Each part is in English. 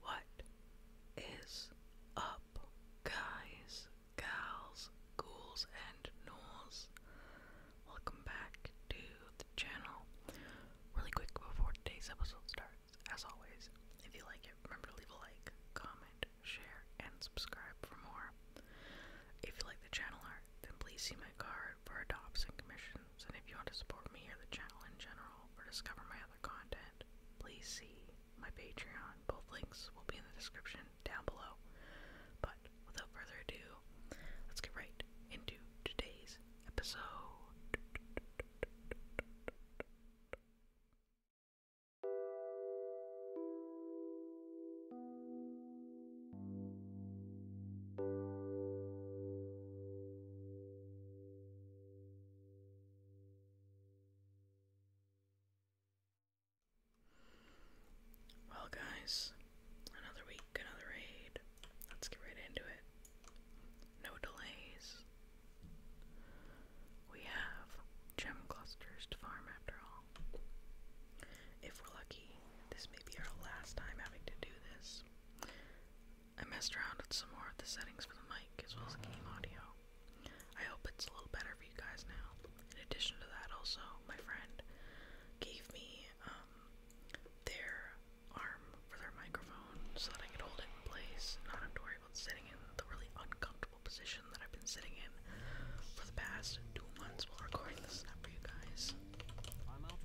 What is up, guys, gals, ghouls, and ghouls? Welcome back to the channel. Really quick before today's episode starts, as always, if you like it, remember to leave a like, comment, share, and subscribe for more. If you like the channel art, then please see my card for a Dobson games, and if you want to support me or the channel in general or discover my other content, please see my Patreon. Both links will be in the description down below. But without further ado, let's get right into today's episode. Well, guys, another week, another raid. Let's get right into it. No delays. We have gem clusters to farm after all. If we're lucky, this may be our last time having to do this. I messed around with some more of the settings for the mic as well as game audio. I hope it's a little better for you guys now. In addition to that, also, my friend gave me um, their arm for their microphone so that I could hold it in place and not have to worry about sitting in the really uncomfortable position that I've been sitting in for the past two months while recording this stuff for you guys. I'm out of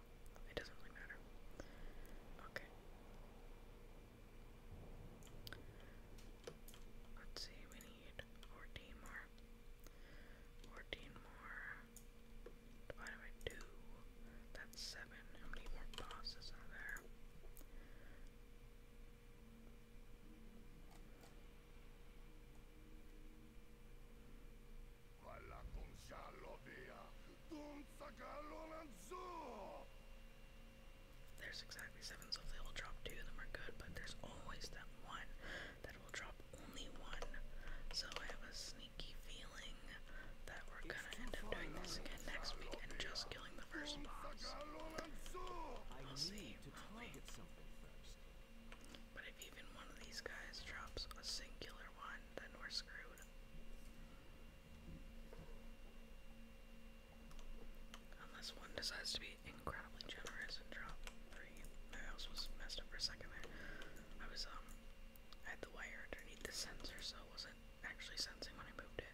it doesn't really matter. Okay. Let's see, we need 14 more. 14 more. Divided by 2. That's 7. How many more bosses are there? there's exactly seven, so they will drop two of them are good, but there's always that one that will drop only one. So I have a sneaky feeling that we're gonna end up doing this again next week and just killing the first boss. We'll see. I'll wait. But if even one of these guys drops a singular one, then we're screwed. Unless one decides to be incredibly generous drop free. My mouse was messed up for a second there. I was, um, I had the wire underneath the sensor, so it wasn't actually sensing when I moved it.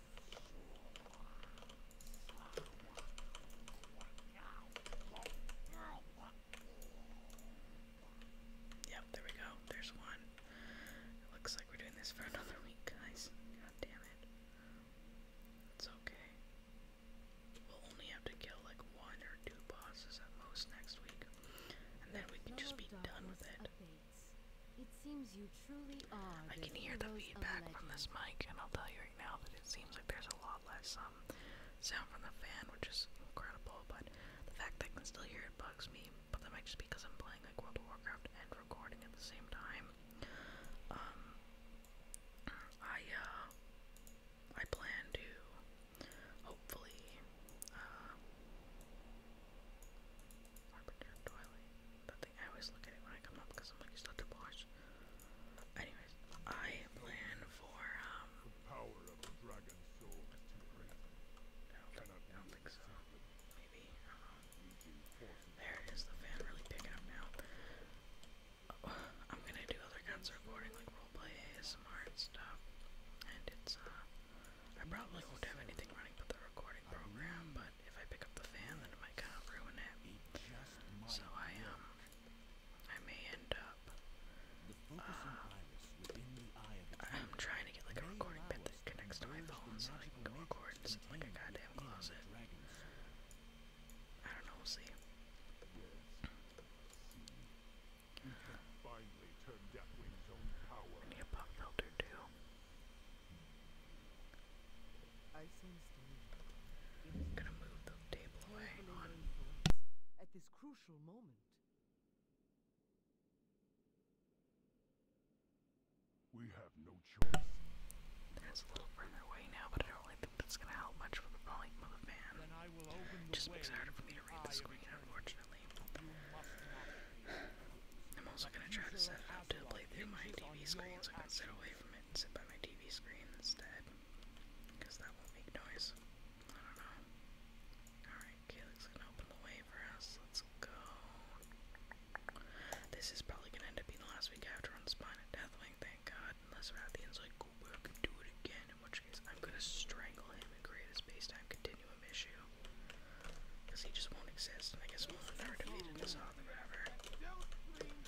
Yep, there we go. There's one. It looks like we're doing this for another week, guys. God damn it. It's okay. We'll only have to kill like one or two bosses at most next week. And then we can just be done with it. It seems you truly are. I can hear the feedback from this mic, and I'll tell you right now that it seems like there's a lot less um, sound from the fan, which is incredible. But the fact that I can still hear it bugs me. But that might just be because I'm playing like World of Warcraft and recording at the same time. Um, I uh, I plan to hopefully uh, Harbinger That thing I always look at it when I come up because I'm like, it's to watch. Anyways, I plan for um. too great. Um, there it is. The fan really picking up now. I'm gonna do other kinds of recording, like roleplay, ASMR, stuff. And it's uh, I probably won't have anything running but the recording program, but if I pick up the fan, then it might kind of ruin it. So I um, I may end up. Uh, I'm trying to get like a recording bit that connects to my phone, so I can go record and like a goddamn closet. I don't know. see. need a pop filter too. I'm gonna move the table away. At this crucial moment. We have no choice. That's a little further away now, but I don't think that's gonna help much for the volume of just makes it harder for me to read the screen, unfortunately. I'm also gonna try to set it up to play through my TV screen so I can sit away from and sit by my TV screen instead. Because that won't make noise. I don't know. Alright, Calix's gonna open the way for us. Let's go. This is probably gonna end up being the last week I have Spine and Deathwing, thank god. Unless Rathian's like, do it again, in which case I'm gonna strangle him and create a space continuum issue. Because he just won't exist, I guess we'll never defeated this author ever.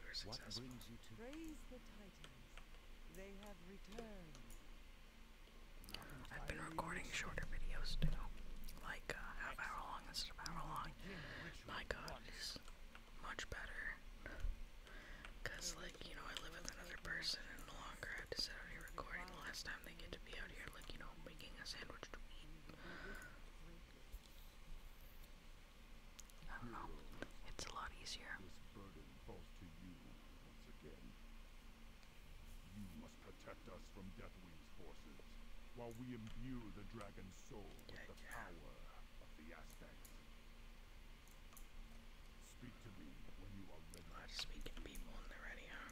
Praise the Titans. They have returned. I've been recording shorter videos too. Like uh, half hour long instead of hour long. My god, it's much better. Cause like, you know, I live with another person and the longer have to sit out here recording, the last time they get to be out here like, you know, making a sandwich to eat. I don't know. It's a lot easier. Speak to me when you are ready. Well, that's people when they're ready, huh?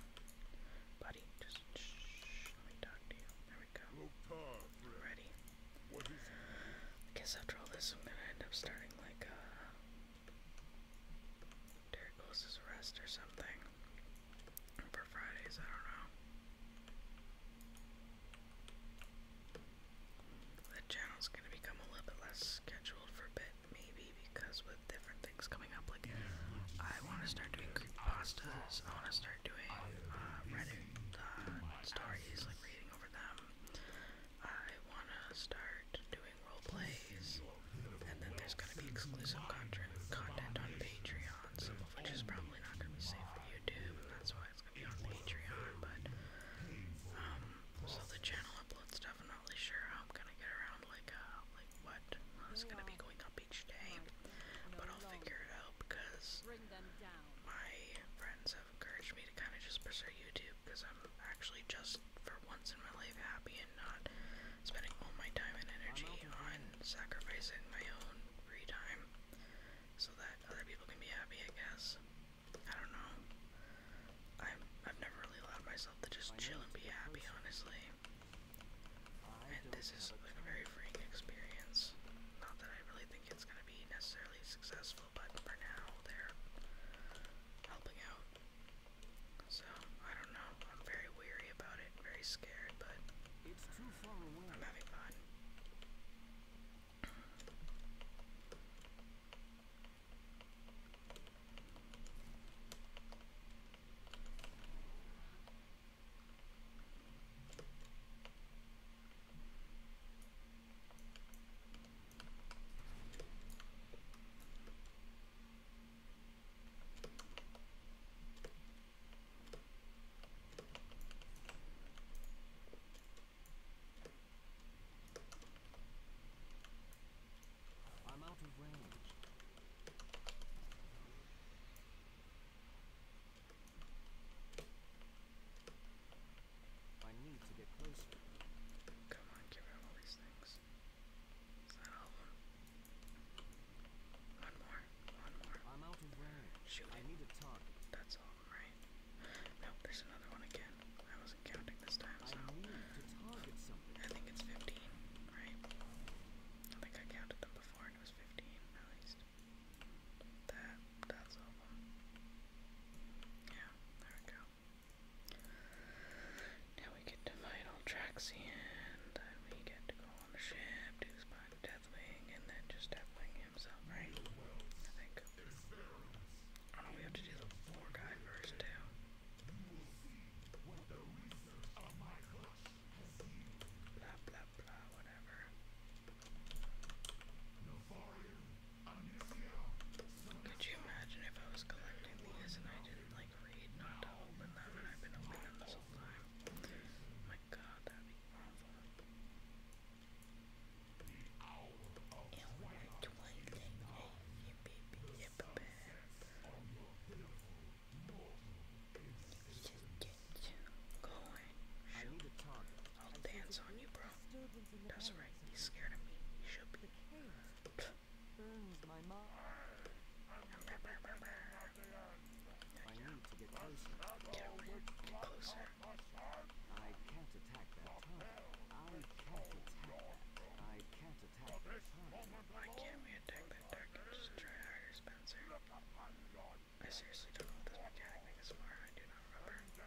Buddy, just shh, let me talk to you. There we go. Loktar, ready. I guess after all this, I'm gonna end up starting like a uh, Rest or something for Fridays. I don't know. The channel's gonna become a little bit less scheduled for a bit, maybe because with different things coming up, like I want to start doing pastas. I want to start doing uh, Reddit uh, stories, like reading over them. I want to start doing role plays, and then there's going to be exclusive content on Patreon, some of which is probably not going to be safe for YouTube, and that's why it's going to be on Patreon. But um, so the channel uploads definitely sure how I'm going to get around like uh, like what is going to be going up each day, but I'll figure it out because my friends encouraged me to kind of just pursue YouTube because I'm actually just for once in my life happy and not spending all my time and energy on sacrificing my own free time so that other people can be happy, I guess. I don't know. I'm, I've never really allowed myself to just chill and be happy, honestly. And this is like a very freeing experience. Not that I really think it's going to be necessarily successful, but for now they're helping out. So, I don't know. I'm very weary about it, very scared, but it's too far away. I'm having fun. I'm out of range. I need to get closer. Come on, give out all these things. Is that all One more, one more. I'm out of range. I need a target. That's all of there's another one again. I wasn't counting this time, so. I think it's 15, right? I think I counted them before and it was 15, at least. That, that's over. Yeah, there we go. Now we get to fight Altraxian, then we get to go on the ship, do Spine Deathwing, and then just Deathwing himself, right? I think. Oh no, we have to do the war guy first, too. Blah, blah, blah, whatever. Could you imagine if I was collecting these and I didn't like read not open them and I've been opening them this whole time? my god, that'd be awful. Yeah, we're not doing anything. Hey, baby, yeah, Just get going. I'll dance on you, bro. That's right. He's scared of me. He should be. I need get closer. I can't attack that I can't attack that. Why can't we attack that target? Just try harder, Spencer. I seriously don't know what this mechanic thing is for. I do not remember.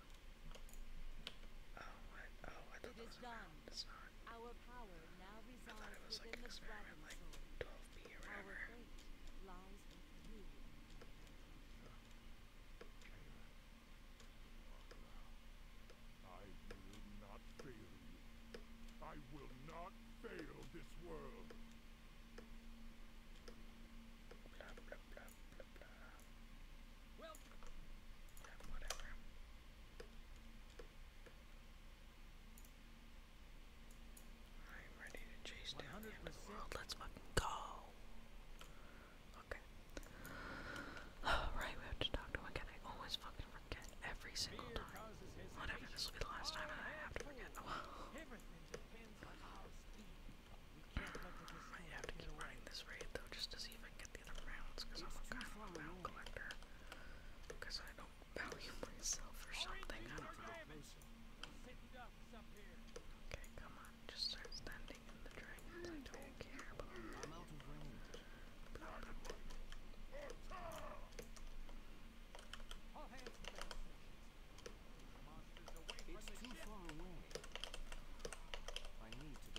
Oh, what? Oh, I thought it was done. It's not. Our power now I thought it was like an experiment, like 12p or whatever. Lies with you. I will not fail you. I will not fail this world. Blah, blah, blah, blah, I'm ready to chase down the end of the world. Let's fucking go. Okay. right, we have to talk to him again. I always fucking forget every single time. Whatever, this will be the last time that I have to forget. Oh, I have to keep running this raid though just to see if I get the other rounds because I'm a kind of a round collector. Because I don't value myself or something, I don't know. Okay, come on, just start standing in the dragons. I don't care about It's too far away. I need to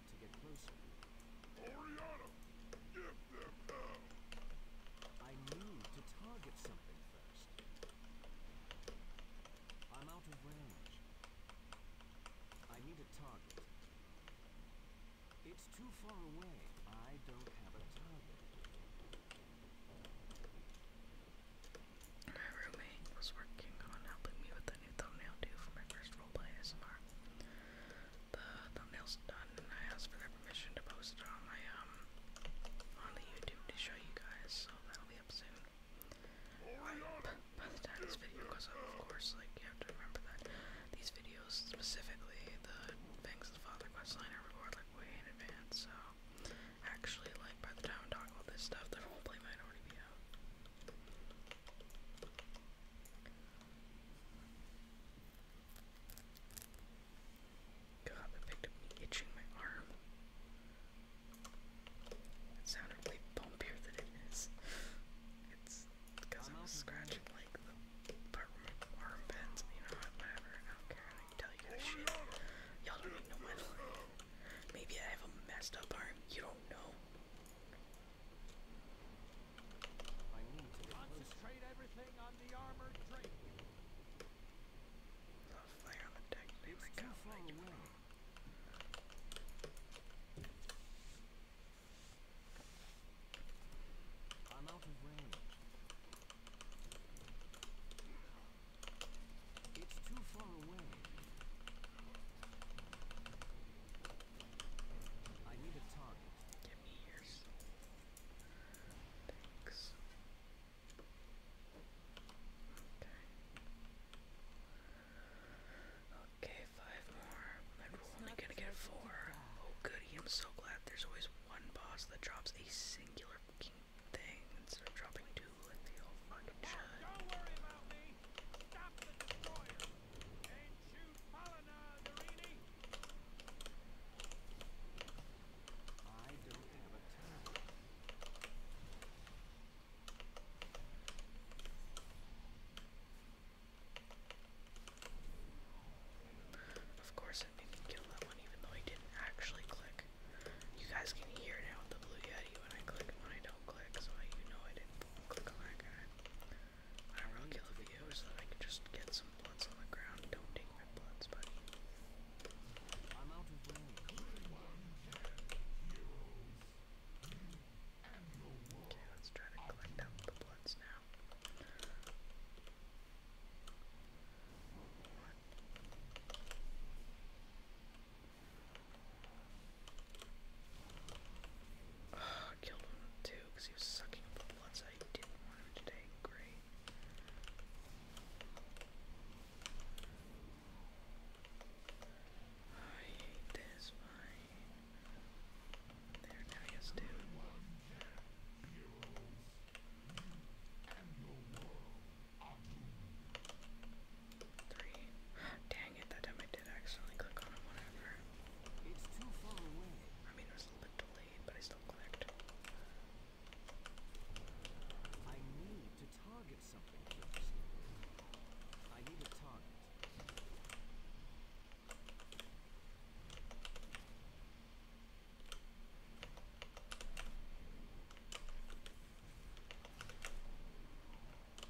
Oriana, give them hell! I need to target something first. I'm out of range. I need a target. It's too far away. I don't have a target. My roommate was working on helping me with new thumbnail due for my first roleplay ASMR. The thumbnail's done I asked for their permission to post it on my um on the YouTube to show you guys, so that'll be up soon. by the time this video goes up, of course, like you have to remember that these videos specifically, the things the Father Quest line are recorded like way in advance, so Actually, like by the time I'm talking about this stuff, the roleplay might already be out. God, that picked up me itching my arm. It sounded way bumpier than it is. It's because I was scratching like the part where my arm bends, you know, whatever. I don't care. I can tell you guys shit. Y'all don't even know my life. Maybe I have a messed up arm. You don't know. I need to concentrate everything on the armored drake. Not flare on the deck, they like how like I'm out of range. It's too far away. I need a target. Give me yours. Thanks. Okay. five more. I'm only gonna get four. Oh goody, I'm so glad there's always one boss that drops a singular thing instead of dropping two like the old fucking shot. Of course, I did kill that one, even though I didn't actually click. You guys can hear now the blue yeti when I click when I don't click, so you know I didn't click on that guy on a regular video so I can just get some blunts on the ground. Don't take my blunts, buddy. am out of Okay, let's try to collect up the blunts now. Uh, killed one too because he was sucking up the bloods I didn't want him to take. Great. I hate this mine. There, now he two. Three. Damn, that time I did accidentally click on whatever. It's I mean, it was a little bit delayed, but I still clicked. I need to target something first. I need a target. Four, five,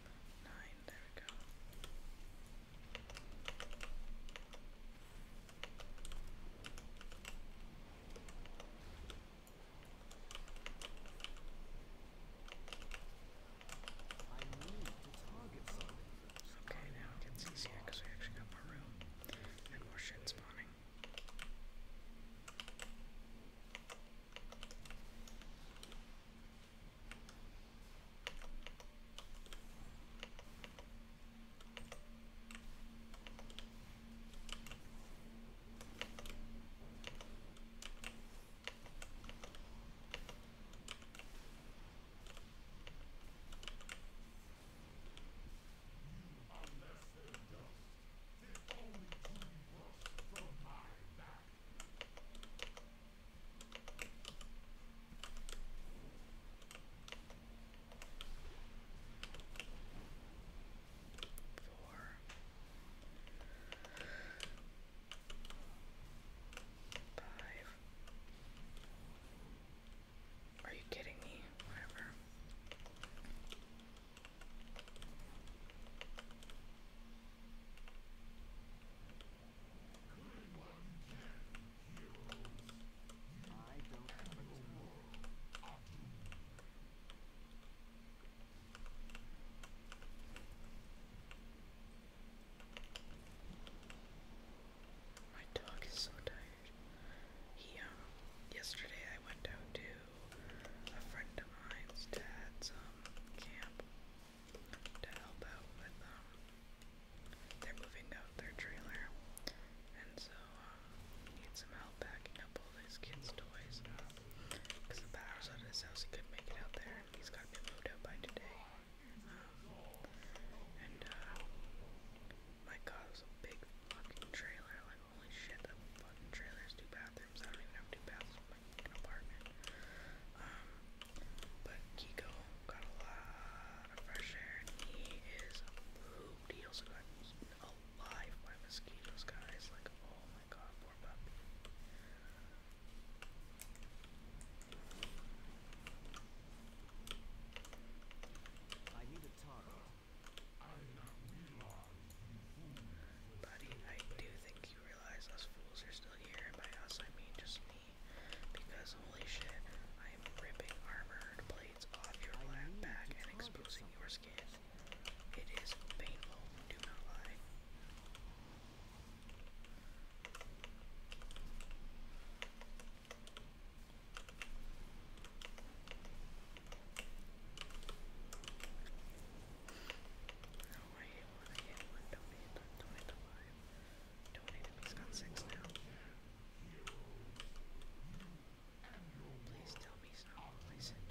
nine, there we go. Okay, now it gets easier because we actually got more room and more shit spawning. Unless they dust, the only true works from my back. Four. Five. Are you kidding me? Whatever. My dog is so tired. He um yesterday I went out to a friend of mine's dad's um camp to help out with um they're moving out their trailer and so uh need some help packing up all these kids' toys because uh, the power's out of his house he couldn't make it out there and he's gotta be moved out by today. Um, and uh my god it was a big fucking trailer, like holy shit that fucking trailer's two bathrooms. I don't even have two bathrooms but Kiko got a lot of fresh air, and he is pooped. He also got alive by mosquitoes, guys. Like, oh my god, poor puppy. I need a target. Buddy, I do think you realize us fools are still here, and by us I mean just me. Because holy shit, I am ripping armored plates off your lap back and exposing your skin. It is painful, do not lie alive. Don't need him, he's got six now. Please tell me he's not poison.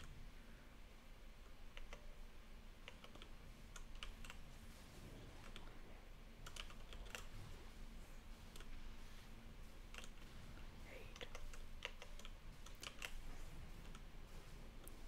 Eight.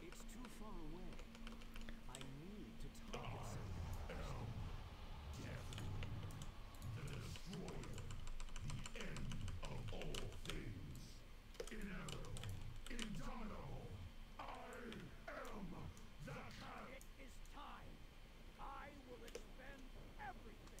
It's too far away. I need to target something. Death. The The end of all things. Inevitable. Indomitable. I am the It is time. I will expend everything.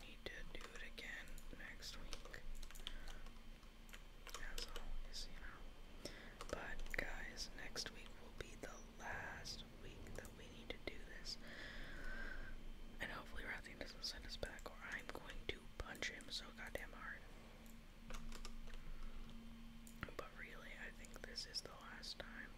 Need to do it again next week. As always, you know. But guys, next week will be the last week that we need to do this. And hopefully Rathing doesn't send us back or I'm going to punch him so goddamn hard. But really, I think this is the last time.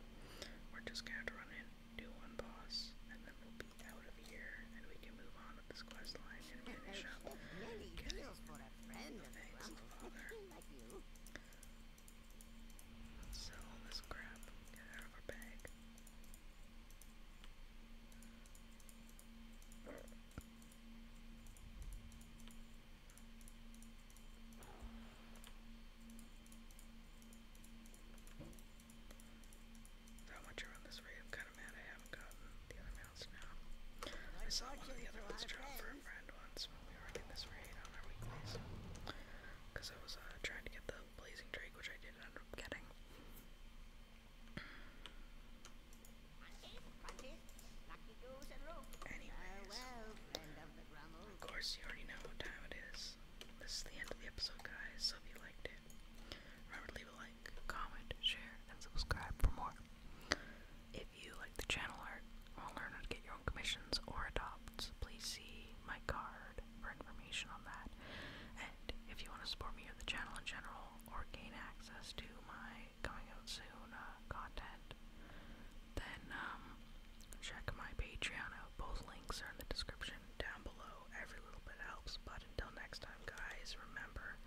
We're just gonna have to run in, do one boss, and then we'll out of here, and we can move on with this quest line and finish up. Really Good. For a friend Thanks, Father. Let's sell all this crap. Get out of our bag i saw one of the other ones drop for a friend once when we were getting this raid on our weeklies. Because I was uh, trying to get the Blazing Drake, which I did end up getting. Anyways, of course you already know what time it is. This is the end of the episode, guys, so you liked it, Remember to leave a like, comment, share, and subscribe for more. If you like the channel art or learn how to get your own commissions or adopts, please see my card for information on that. And if you want to support me or the channel in general or gain access to my coming out soon uh, content, then um, check my Patreon out. Both links are in the description down below every little bit helps. But until next time, guys, remember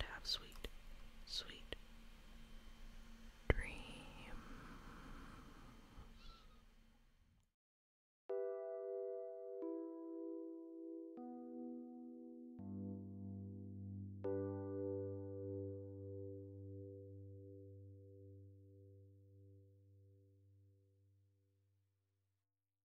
to have sweet, sweet dreams.